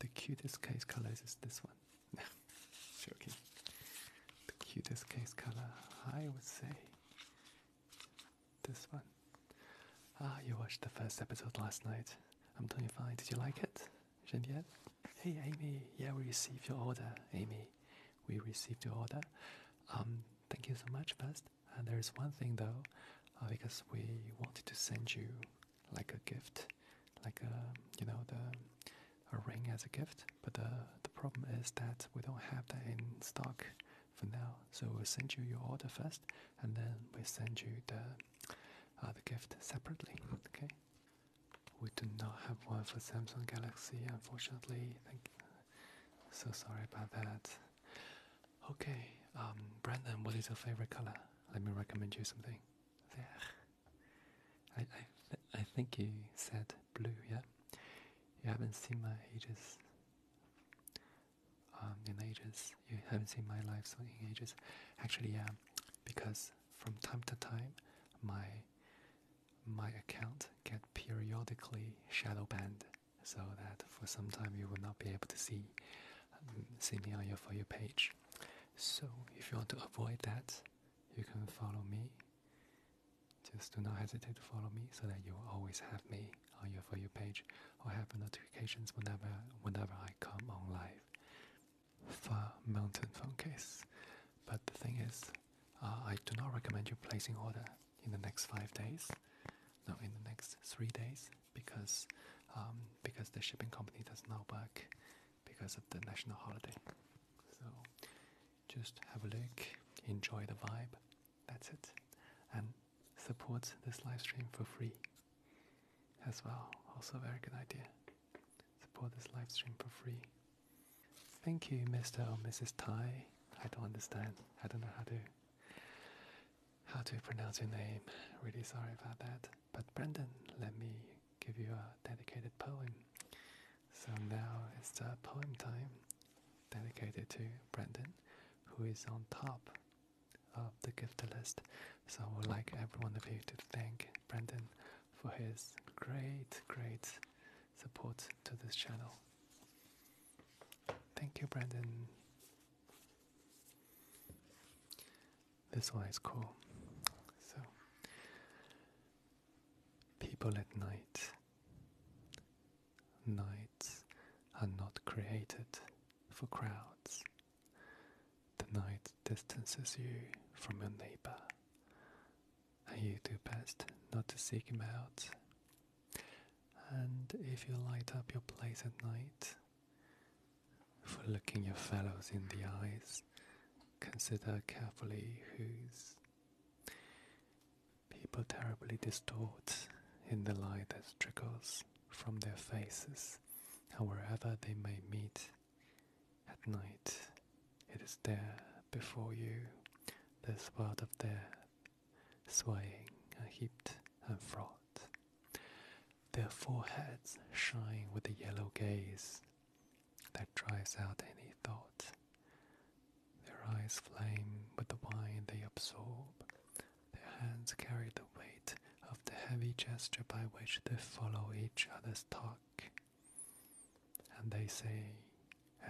The cutest case colors is this one. No, joking. The cutest case color, I would say, this one. Ah, you watched the first episode last night. I'm doing fine. Did you like it? Genevieve? Hey, Amy. Yeah, we received your order, Amy. We received your order. Um, thank you so much, best. And there is one thing though, uh, because we wanted to send you like a gift, like a you know the a ring as a gift. But the the problem is that we don't have that in stock for now. So we'll send you your order first, and then we send you the uh, the gift separately. Okay. We do not have one for Samsung Galaxy, unfortunately. So sorry about that. Okay, um, Brandon, what is your favorite color? Let me recommend you something. There. I, I, I think you said blue, yeah? You haven't seen my ages. Um, in ages. You haven't seen my life so in ages. Actually, yeah, because from time to time, my my account get periodically shadow banned, so that for some time you will not be able to see um, scenario for your page. So if you want to avoid that, you can follow me. Just do not hesitate to follow me so that you always have me on your for your page or have notifications whenever whenever I come on live for mountain phone case. But the thing is, uh, I do not recommend you placing order in the next five days. No, in the next three days because um, because the shipping company does not work because of the national holiday. So just have a look, enjoy the vibe. That's it, and support this live stream for free as well. Also, very good idea. Support this live stream for free. Thank you, Mr. or Mrs. Tai. I don't understand. I don't know how to how to pronounce your name. Really sorry about that. But Brendan, let me give you a dedicated poem. So now it's the poem time dedicated to Brendan, who is on top of the gift list. So I would like everyone of you to thank Brendan for his great, great support to this channel. Thank you, Brendan. This one is cool. So, people at night. Nights are not created for crowds. The night distances you from your neighbor, and you do best not to seek him out and if you light up your place at night, for looking your fellows in the eyes, consider carefully whose people terribly distort in the light that trickles from their faces, and wherever they may meet at night, it is there before you, this world of death swaying and uh, heaped and fraught. Their foreheads shine with a yellow gaze that drives out any thought. Their eyes flame with the wine they absorb. Their hands carry the weight of the heavy gesture by which they follow each other's talk. And they say,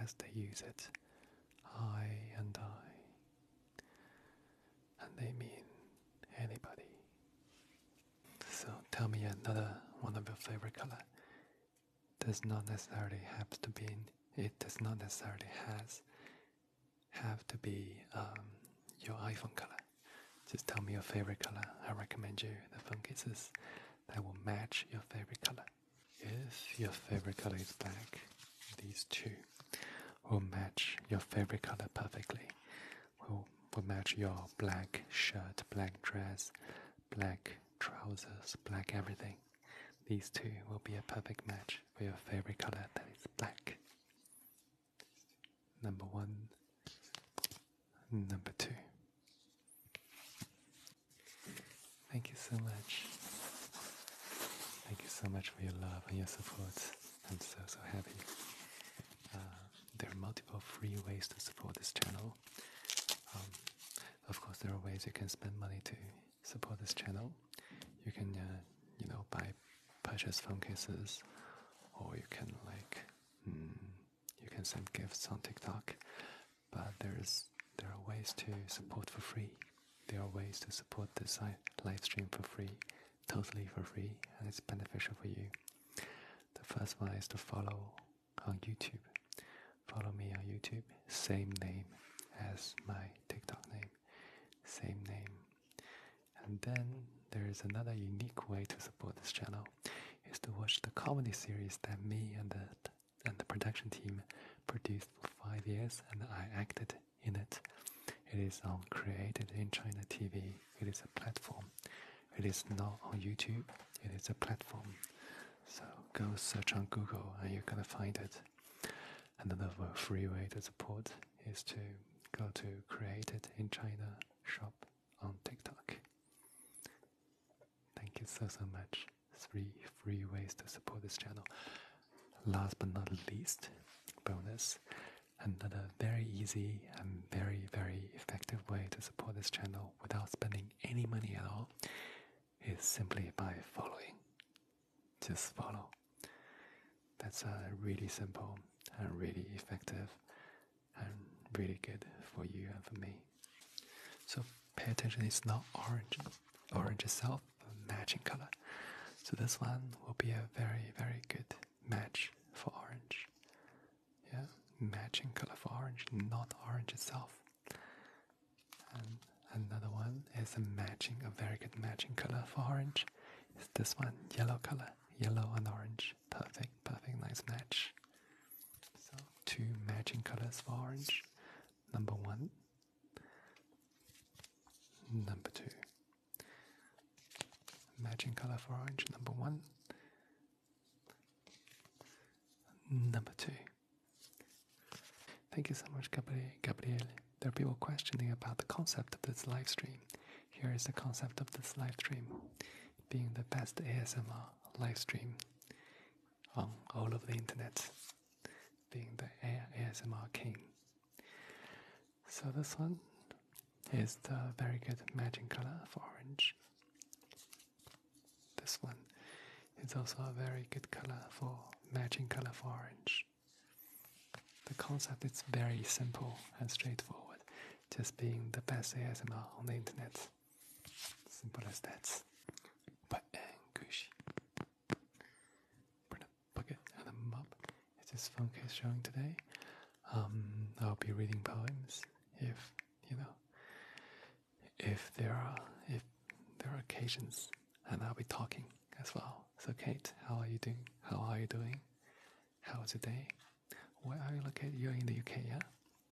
as they use it, I and I, and they mean anybody. So tell me another one of your favorite color. Does not necessarily have to be. It does not necessarily has have to be um, your iPhone color. Just tell me your favorite color. I recommend you the phone cases that will match your favorite color. Yes, your favorite color is black. These two will match your favorite color perfectly. Will will match your black shirt, black dress, black trousers, black everything. These two will be a perfect match for your favorite color that is black. Number one, number two. Thank you so much. Thank you so much for your love and your support. I'm so, so happy. Uh, there are multiple free ways to support this channel. Um, of course, there are ways you can spend money to support this channel. You can, uh, you know, buy, purchase phone cases, or you can like, mm, you can send gifts on TikTok but there's there are ways to support for free. There are ways to support this live stream for free, totally for free, and it's beneficial for you. The first one is to follow on YouTube. Follow me on YouTube, same name as my TikTok name, same name. And then there is another unique way to support this channel is to watch the comedy series that me and that and the production team produced for five years, and I acted in it. It is all Created in China TV. It is a platform. It is not on YouTube. It is a platform. So go search on Google and you're gonna find it. Another free way to support is to go to Created in China shop on TikTok. Thank you so so much. Three free ways to support this channel. Last but not least, bonus. Another very easy and very very effective way to support this channel without spending any money at all is simply by following. Just follow. That's uh, really simple and really effective and really good for you and for me. So pay attention, it's not orange. Orange itself, matching color. So this one will be a very, very good match for orange. Yeah, matching color for orange, not orange itself. And another one is a matching, a very good matching color for orange. Is this one, yellow color, yellow and orange. Perfect, perfect, nice match. So two matching colors for orange. Number one, number two. Matching color for orange, number one, number two. Thank you so much, Gabriele. There are people questioning about the concept of this live stream. Here is the concept of this live stream being the best ASMR live stream on all of the internet, being the ASMR king. So this one is the very good matching color for orange. This one is also a very good color for matching color for orange. The concept is very simple and straightforward, just being the best ASMR on the internet. Simple as that. But Anguish. Bring a bucket and a mop. It's this phone case showing today. Um, I'll be reading poems if you know if there are if there are occasions and I'll be talking as well. So Kate, how are you doing? How are you doing? How was the day? Where are you located? You're in the UK, yeah?